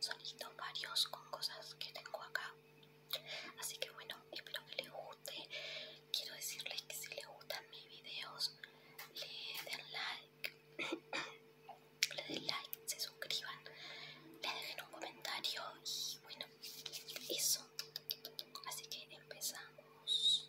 son sonido varios con cosas que tengo acá así que bueno espero que les guste quiero decirles que si les gustan mis videos le den like le den like se suscriban le dejen un comentario y bueno eso así que empezamos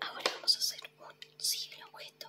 Ahora vamos a hacer un simple objeto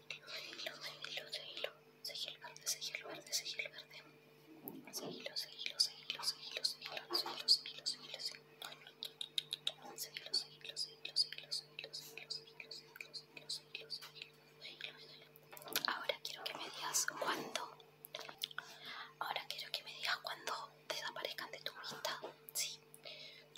Seguilo, seguilo, seguilo. Ahora quiero que me digas cuando Ahora quiero que me desaparezcan de tu vista.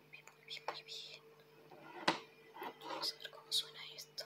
muy bien, muy bien, Vamos a ver cómo suena esto.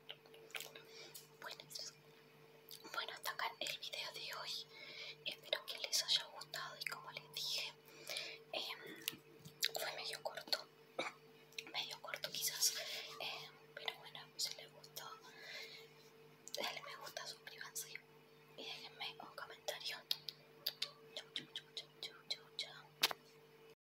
Bueno, hasta acá el video de hoy. Espero que les haya gustado y como les dije, em, fue medio corto. medio corto quizás. Em, pero bueno, si les gustó, denle me gusta, suscríbanse y déjenme un comentario. Chau, chau, chau, chau, chau, chau.